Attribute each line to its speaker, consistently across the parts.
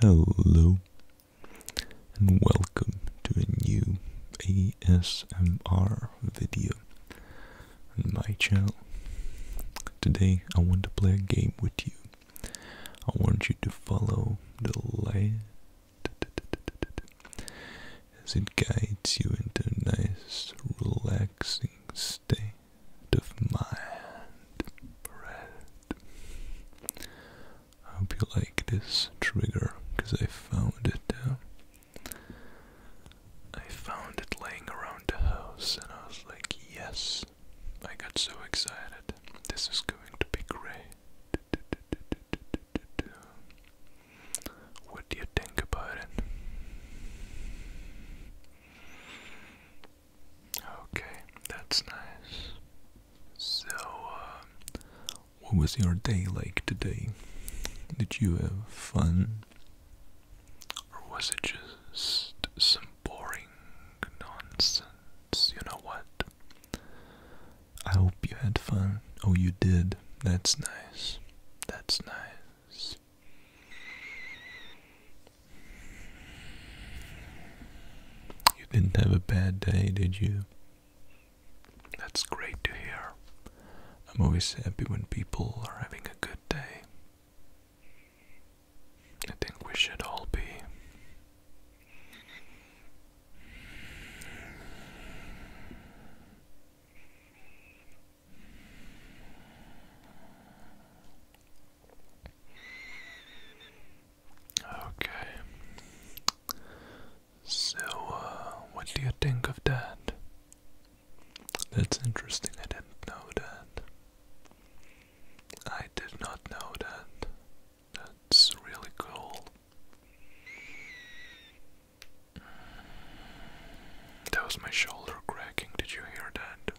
Speaker 1: Hello and welcome to a new ASMR video on my channel. Today I want to play a game with you. I want you to follow the light as it guides you into a nice relaxing state of mind. I hope you like this trigger because I found it. Uh, I found it laying around the house, and I was like, yes. I got so excited. This is going to be great. What do you think about it? Okay, that's nice. So, uh, what was your day like today? Did you have fun? Or was it just some boring nonsense? You know what? I hope you had fun. Oh, you did. That's nice. That's nice. You didn't have a bad day, did you? That's great to hear. I'm always happy when people are having a good day. I think we should all be. Okay. So, uh, what do you think of that? That's interesting, I didn't know that. I did not know that. That's really cool. That was my shoulder cracking, did you hear that?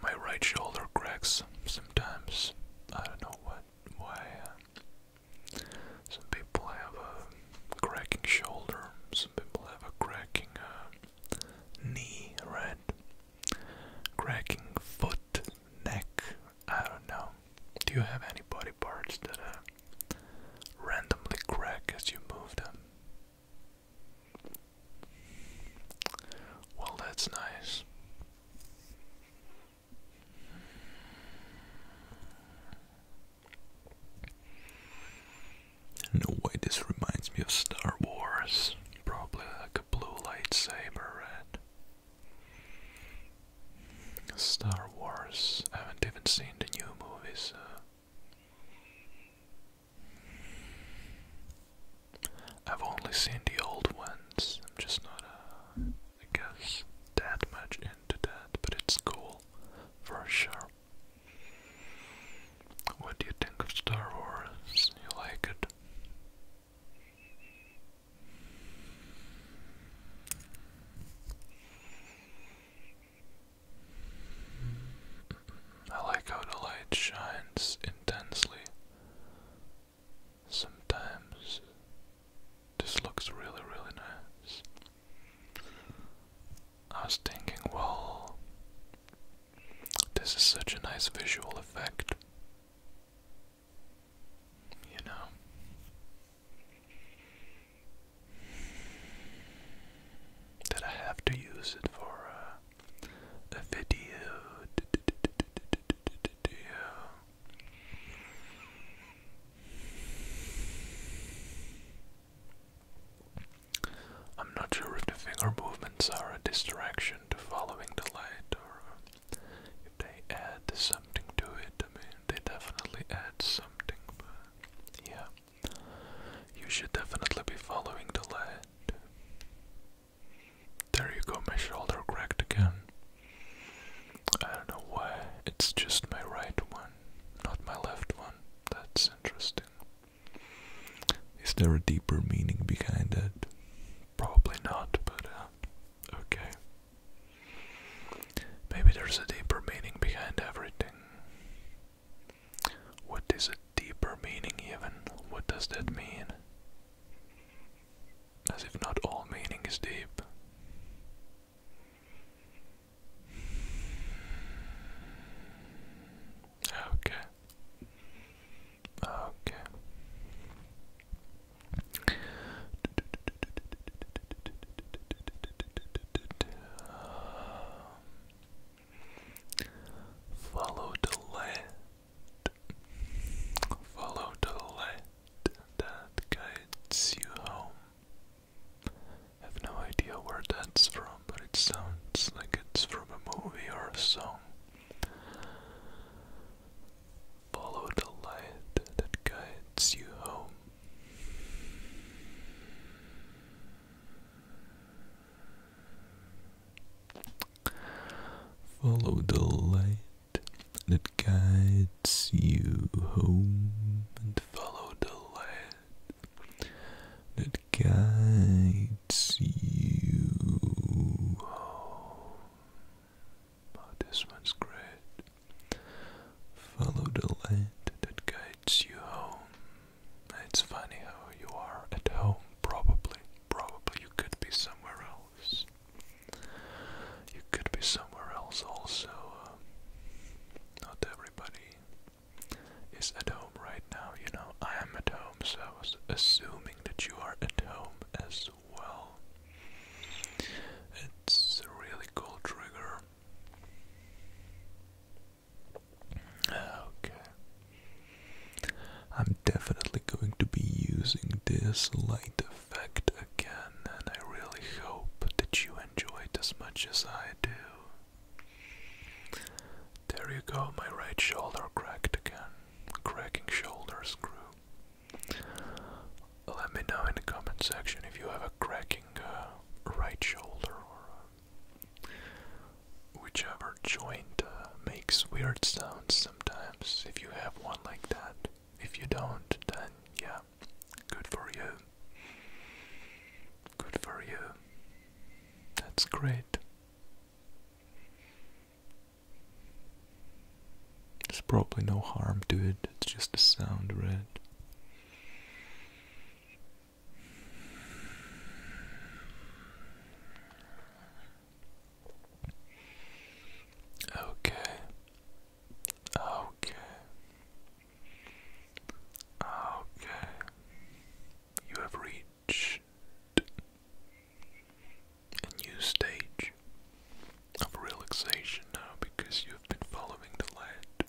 Speaker 1: My right shoulder cracks sometimes. I don't know what why. Uh, some people have a cracking shoulder. Some people have a cracking uh, knee, right? Cracking foot, neck. I don't know. Do you have any body parts that uh, randomly crack as you move them? Well, that's nice. No way, this reminds me of Star Wars. Probably like a blue lightsaber, right? Star Wars. haven't even seen the new movies. I've only seen the old ones. I'm just not, uh, I guess, that much into that, but it's cool for sure. What do you think of Star Wars? You like it? I like how the light shines intensely Sometimes this looks really, really nice. I was thinking, well, this is such a nice visual effect. You know. That I have to use it for uh, video. I'm not sure if the finger movements are a distraction to following the light or if they add something to it. I mean, they definitely add something, but yeah. You should definitely be following the light. There you go, my shoulder cracked again. I don't know why, it's just my right one, not my left one. That's interesting. Is there a deeper meaning behind it? Probably not, but uh, okay. Maybe there's a deeper meaning behind everything. What is a deeper meaning, even? What does that mean? As if not all meaning is deep. Okay. Okay. Follow the land Follow the light that guides you home. have no idea where that's from, but it sounds like it's from a movie or a song. Follow the light that guides you home. Follow the light that guides you home, and follow the light that guides you home. Oh, this one's great. Follow the light that guides you home. It's funny how you are at home, probably probably you could be somewhere else. You could be somewhere else also. Um, not everybody is at home right now, you know. I am at home, so I was assuming that you are at home as well. It's a really cool trigger. Ah, okay. I'm definitely going to be using this light effect again, and I really hope that you enjoy it as much as I do. There you go, my right shoulder cracked again. Cracking shoulder screw. Let me know in the comment section if you have a cracking uh, right shoulder whichever joint uh, makes weird sounds sometimes. If you have one like that, if you don't, then yeah, good for you. Good for you. That's great. There's probably no harm to it, it's just a sound, right? Okay. Okay. Okay. You have reached a new stage of relaxation now because you have been following the light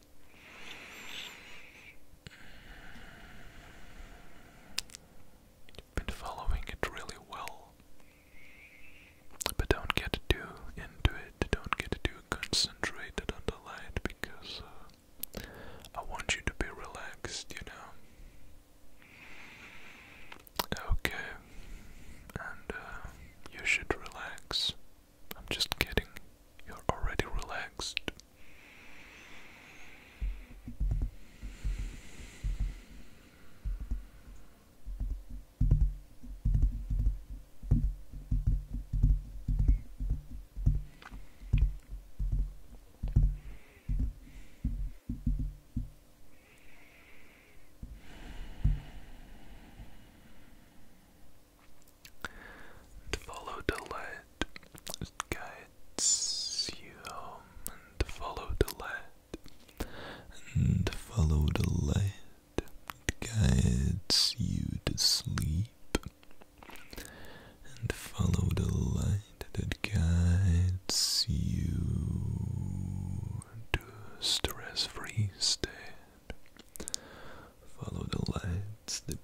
Speaker 1: been following it really well. But don't get too into it, don't get too concentrated on the light because uh, I want you to be relaxed, you know. Okay, and uh, you should relax. I'm just kidding, you're already relaxed. To follow the light, guide gets you home and follow the light and follow the light it guides you to sleep and follow the light that guides you to stress-free state follow the light, that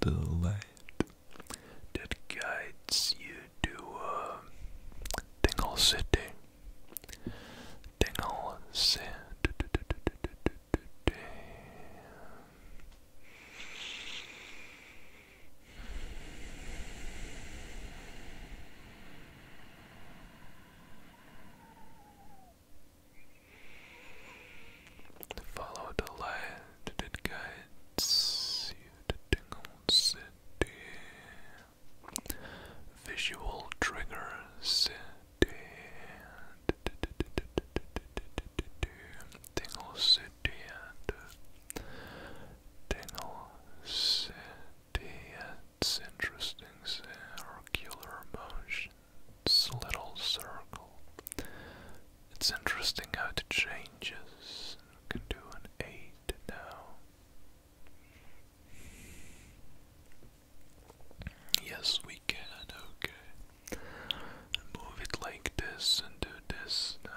Speaker 1: the light that guides you to a um, Tingle City. Tingle City. Follow the light that guides you to Tingle City. Visual triggers. D. City and Tingle City. It's interesting. Circular motions. Little circle. It's interesting how it changes can do an eight now. Yes, we can. Okay, move it like this and do this now.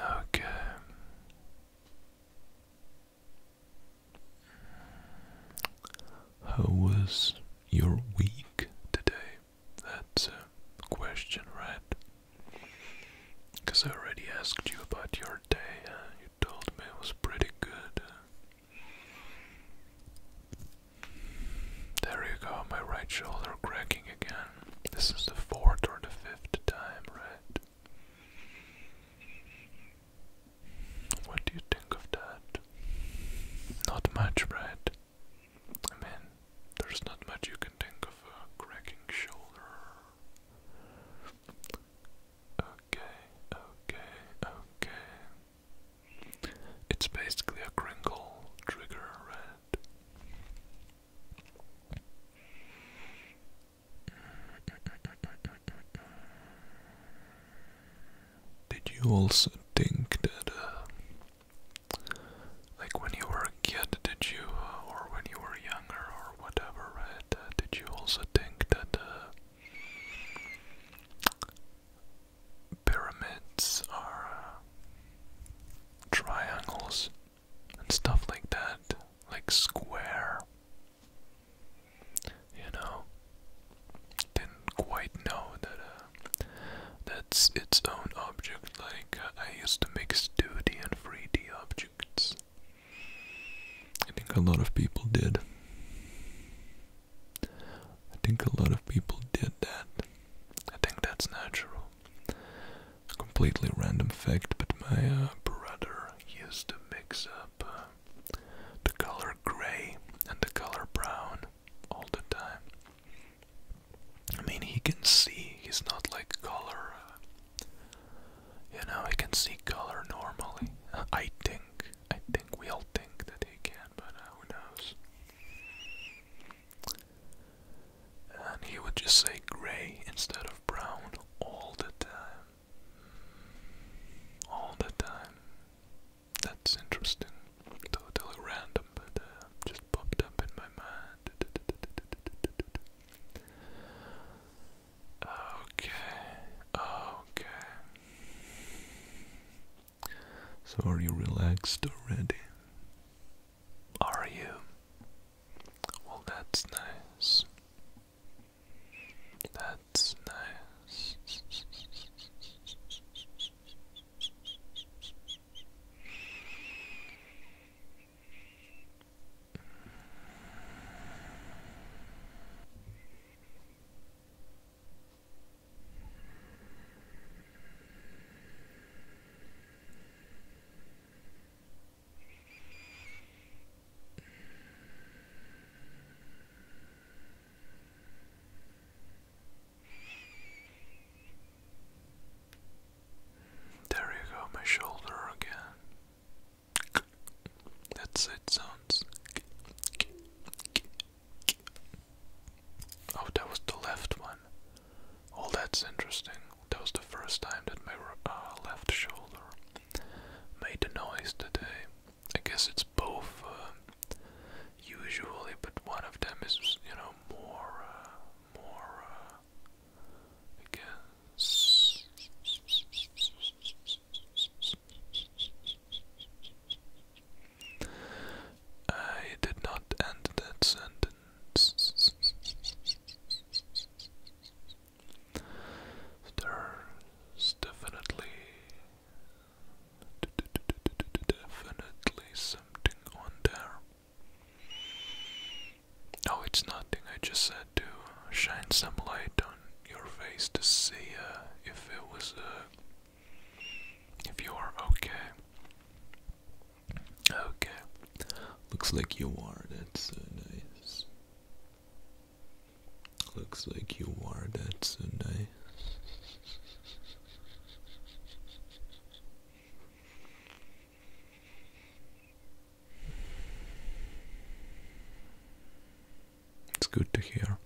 Speaker 1: Okay. How was your week today? That's a question, right? Because I already asked you about your day. you told me it was pretty good. There you go, my right shoulder cracking again. This is the fourth or the fifth time, right? What do you think of that? Not much, right? I there's not much you can think of a uh, cracking shoulder. Okay, okay, okay. It's basically a crinkle trigger red. Did you also think that, uh, like when you were a kid, did you, uh, or when you were younger, or whatever, right? Uh, did you also think that uh, pyramids are uh, triangles and stuff like that, like square. You know, didn't quite know that uh, that's its own object. Like uh, I used to mix 2D and 3D objects. I think a lot of people did. I think a lot of people did that. I think that's natural. A completely random fact, but my uh, brother used to mix up uh, the color gray and the color brown all the time. I mean, he can see, he's not like color. Uh, you know, he can see color normally. I think. I think we all think that they can, but uh, who knows? And he would just say gray instead of brown all the time. All the time. That's interesting. Totally random, but uh, just popped up in my mind. Okay, okay. So, are you relaxed already? Are you? Well, that's nice. That's nice. There you go, my shoulder again. That's it, sounds. Oh, that was the left one. Oh, that's interesting. That was the first time that my uh, left shoulder made a noise today. I guess it's both uh, usually, but one of them is, you know, more, uh, more, uh, I did not end that sentence. There's definitely, definitely something on there. Oh, it's nothing. I just said to shine some light on your face to see uh, if it was a uh, if you are okay. Okay. Looks like you are. That's so nice. Looks like you are. That's so nice. It's good to hear.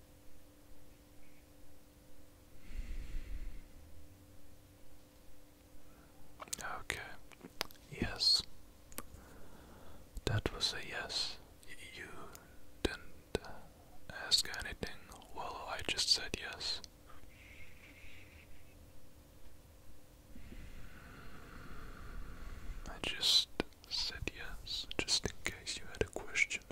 Speaker 1: Okay. Yes. That was a yes. you didn't ask anything. Well, I just said yes. I just said yes, just in case you had a question.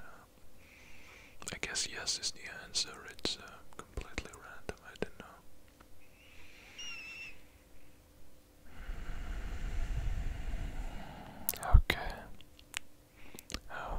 Speaker 1: I guess yes is the answer. It's uh, completely random. I don't know. Okay. Oh.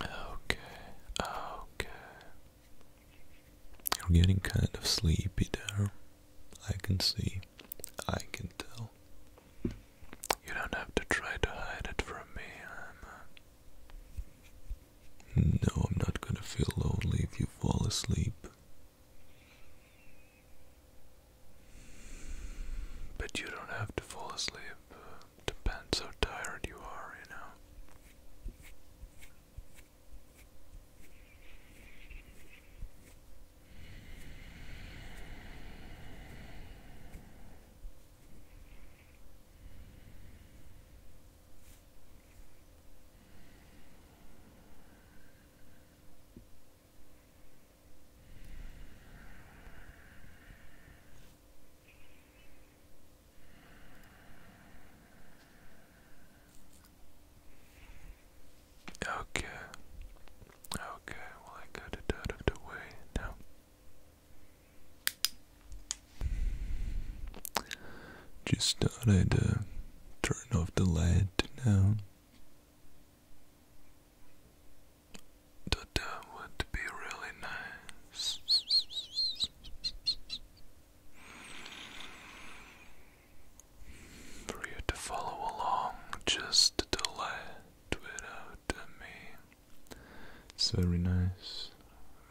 Speaker 1: Okay, okay. You're getting kind of sleepy there. I can see. I can tell. You don't have to try to hide it from me. Uh, no, I'm not gonna feel lonely if you fall asleep. But you don't have to fall asleep. depends how tired you are, you know. Okay. Okay, well, I got it out of the now. Just thought i uh, turn off the light now. That, would be really nice. For you to follow along, just to let without me. It's very nice,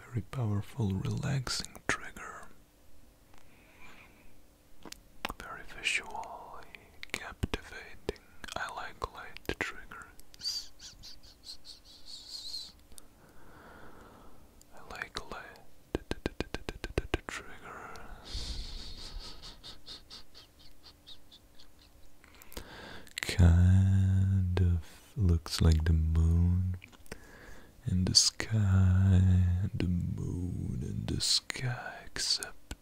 Speaker 1: very powerful, relaxing trigger. Very visually captivating. I like light triggers. I like light triggers. Kind of looks like the moon in the sky, and the moon in the sky, except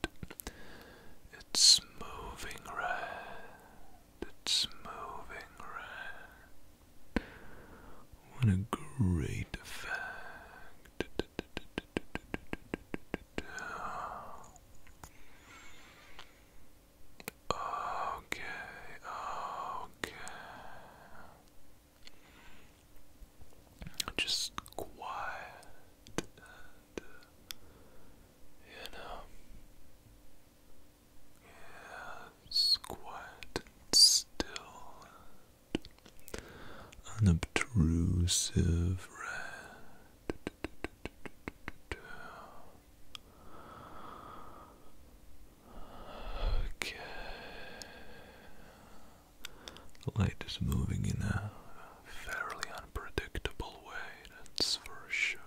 Speaker 1: it's moving red. It's moving red. What a great effect. Okay, okay just quiet you know, yeah, quiet and still unobtrusive, Okay light is moving in a fairly unpredictable way, that's for sure.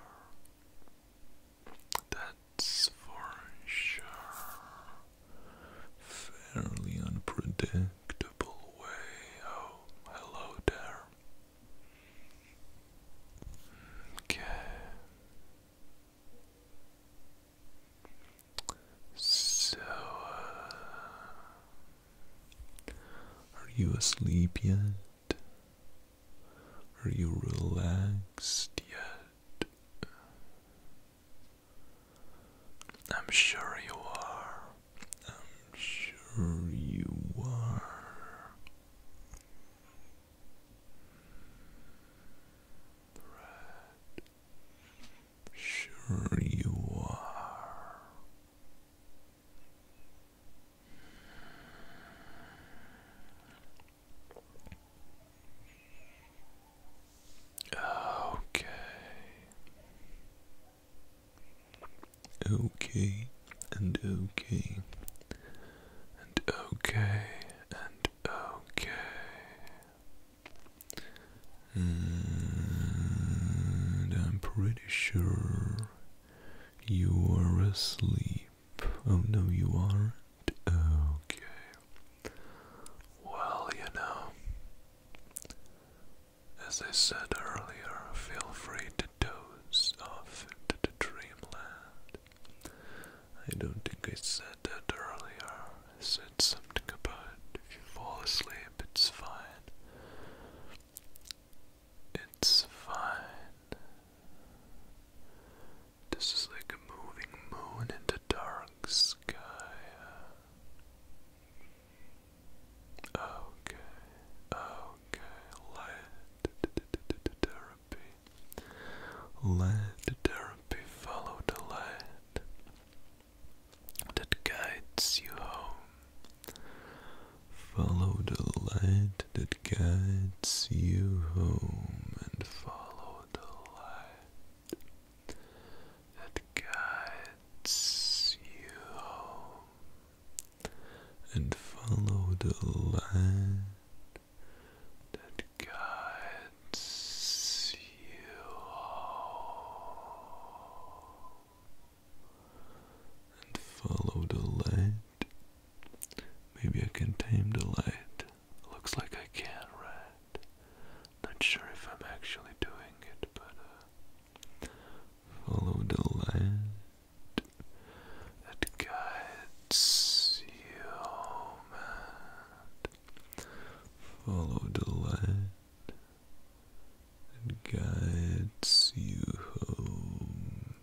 Speaker 1: That's for sure. Fairly unpredictable way. Oh, hello there. Okay. So, uh, are you asleep yet? Are you relaxed yet? I'm sure you are. I'm sure you are. Sure you are. Okay. Okay and okay and okay and okay and I'm pretty sure you are asleep. Oh, no, you aren't? Okay. Well, you know, as I said earlier, feel free to doze off into the dreamland. I don't think I said that earlier. I said something about if you fall asleep, it's fine. It's fine. This is like a moving moon in the dark sky. Okay, okay, light therapy. Let therapy follow the light that guides you home. Follow the light that guides you home and follow the light that guides you home and follow the light that guides you home and follow the light. Maybe I can tame the light. Looks like I can, right? Not sure if I'm actually doing it, but uh, follow the light that guides you, man. Follow the light and guides you home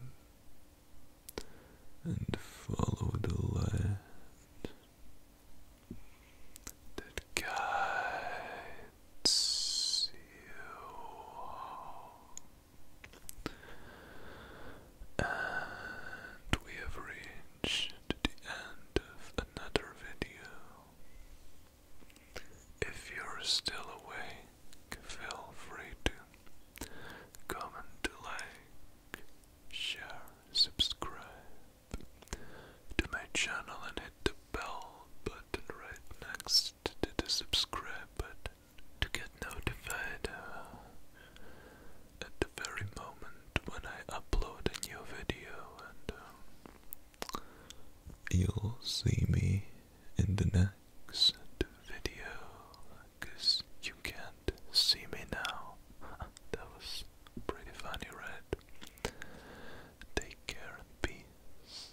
Speaker 1: and follow the light that guides you home. And we have reached the end of another video. If you're still awake, feel free to comment, like, share, subscribe to my channel and hit the bell button right next to the subscribe button to get notified uh, at the very moment when I upload a new video and um, You'll see me in the next video, you can't see me now. that was pretty funny, right? Take care and peace.